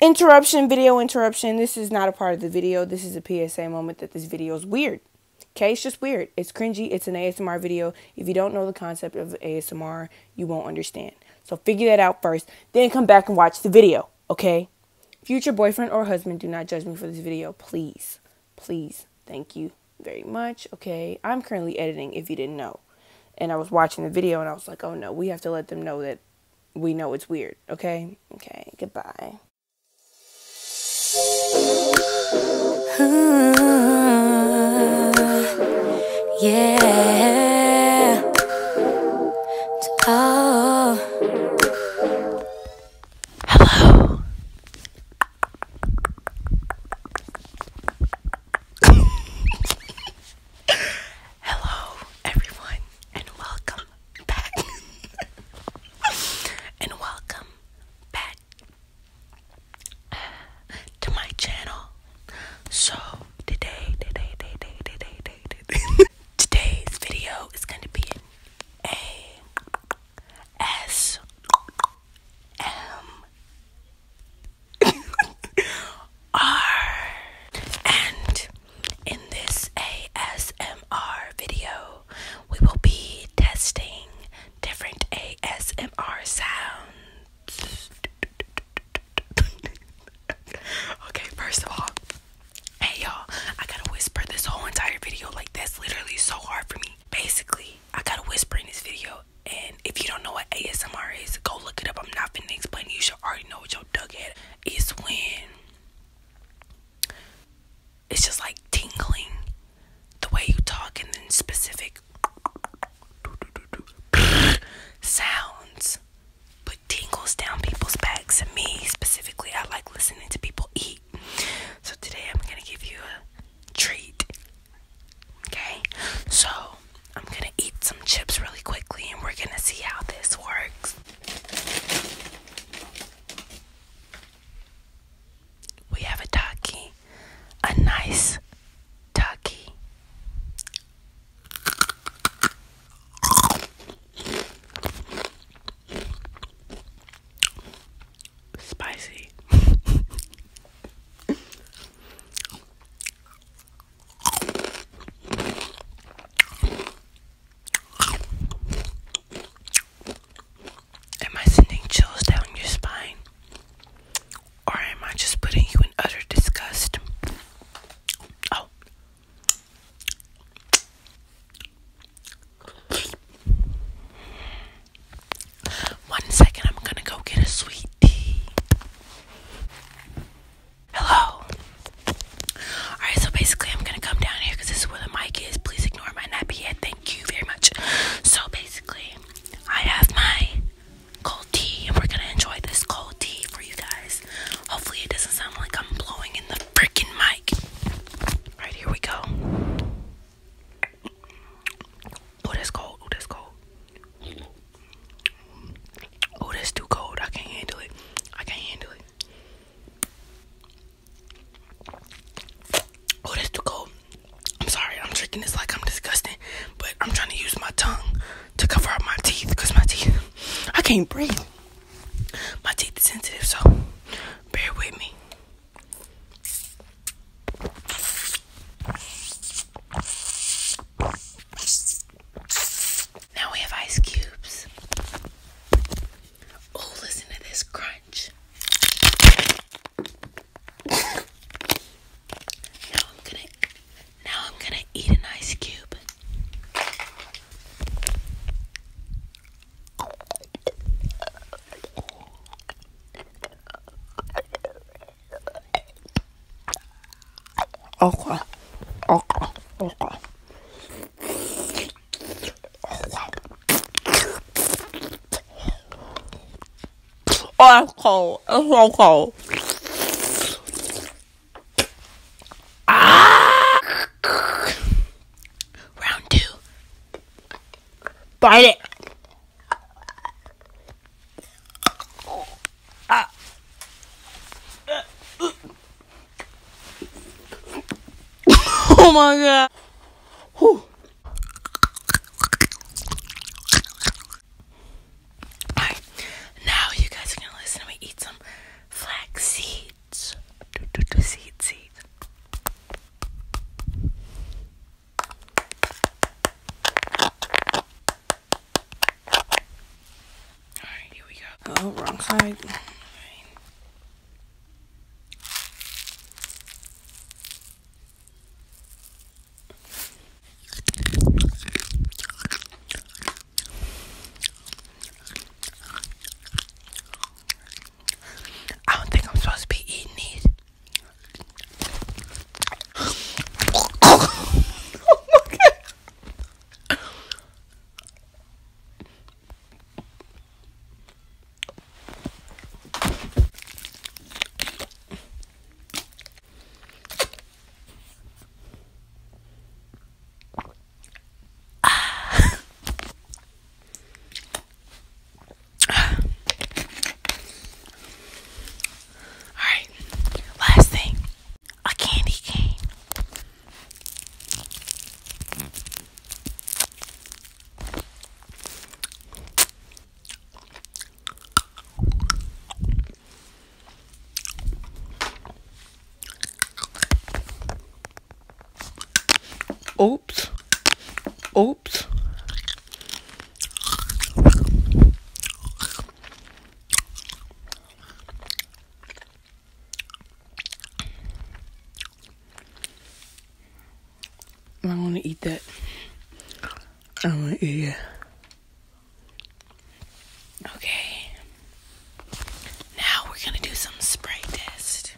Interruption, video interruption. This is not a part of the video. This is a PSA moment that this video is weird. Okay, it's just weird. It's cringy. It's an ASMR video. If you don't know the concept of ASMR, you won't understand. So figure that out first, then come back and watch the video, okay? Future boyfriend or husband, do not judge me for this video, please. Please. Thank you very much, okay? I'm currently editing, if you didn't know. And I was watching the video and I was like, oh no, we have to let them know that we know it's weird, okay? Okay, goodbye. yeah. Oh. Hello. Hello, everyone, and welcome back. and welcome back uh, to my channel. So, today, today, today, today, today, today, today today's video is going to be an A S M are. And in this ASMR video, we will be testing different ASMR sounds. okay, first of all, hey y'all, I gotta whisper this whole entire video like that's literally so hard for me. Basically, I gotta whisper in this video and if you don't know what ASMR is, go look it up. I'm not finna explain. You should already know what your dug head is when it's just like tingling the way you talk and then specific sounds put tingles down people's backs. And me specifically, I like listening to people eat. So today I'm gonna give you a treat. Okay, so I'm gonna eat some chips really quickly and we're gonna see how this works. We have a taki, a nice taki. Spicy. Am I sending chills down your spine? Or am I just putting you in utter disgust? Oh. One second, I'm gonna go get a sweet tea. Hello. Alright, so basically, I'm gonna come down here this is where the mic is. Please ignore my nappy head. Thank you very much. So basically, I have my cold tea, and we're gonna enjoy this cold tea for you guys. Hopefully, it doesn't sound like I'm blowing in the freaking mic. Alright, here we go. Oh, that's cold. Oh, that's cold. Oh, that's too cold. I can't handle it. I can't handle it. Oh, that's too cold. I'm sorry. I'm drinking this like I'm disgusting, but I'm trying to use my tongue to cover up my teeth because my teeth, I can't breathe. My teeth are sensitive, so bear with me. Now we have ice cubes. Oh, listen to this crunch. Now I'm gonna now I'm gonna eat an ice cube. Okay. Okay. Okay. Oh, it's cold. It's so cold. Ah! Round two. Bite it. oh my god. now you guys are gonna listen me eat some flax seeds. seed, seed. Alright, here we go. Oh, wrong side. All right. I don't think I'm supposed to be eating these. oh my God. Alright, last thing a candy cane. Oops. Oops. I want to eat that. I want to eat it. Okay. Now we're going to do some spray test.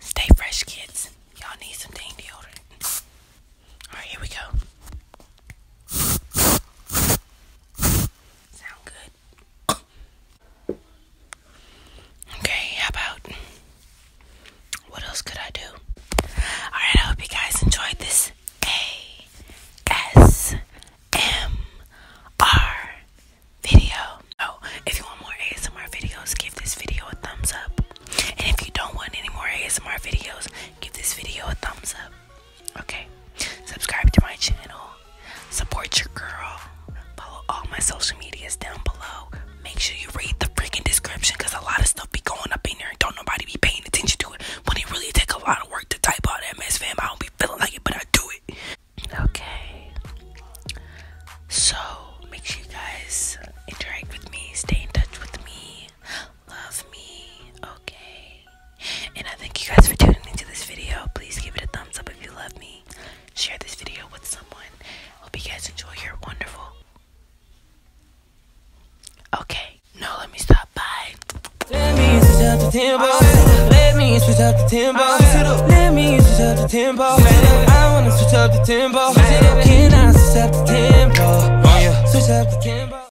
Stay fresh, kids. Y'all need some dang deodorant. Alright, here we go. Sound good? Okay, how about what else could I do? Alright, I hope you guys enjoyed this A S M R video. Oh, if you want more ASMR videos, give this video a thumbs up. And if you don't want any more ASMR videos, give this video a thumbs up. Okay, subscribe to my channel, support your girl, follow all my social medias down below. Make sure you read the freaking description because a lot of stuff be going up in there and don't nobody be paying attention to it. When it really take a lot of work to type out that mess, fam. I don't be feeling like it, but I do it. Okay. So make sure you guys interact with me, stay in touch with me, love me, okay? And I thank you guys for tuning into this video. Please give it a thumbs up if you love me. Share this video with someone. Hope you guys enjoy your wonderful. Okay, no, let me stop. Bye. switch up the tempo. switch up the tempo. Let me switch up the tempo. I wanna switch up the tempo. Can I switch up the tempo? Switch up the tempo.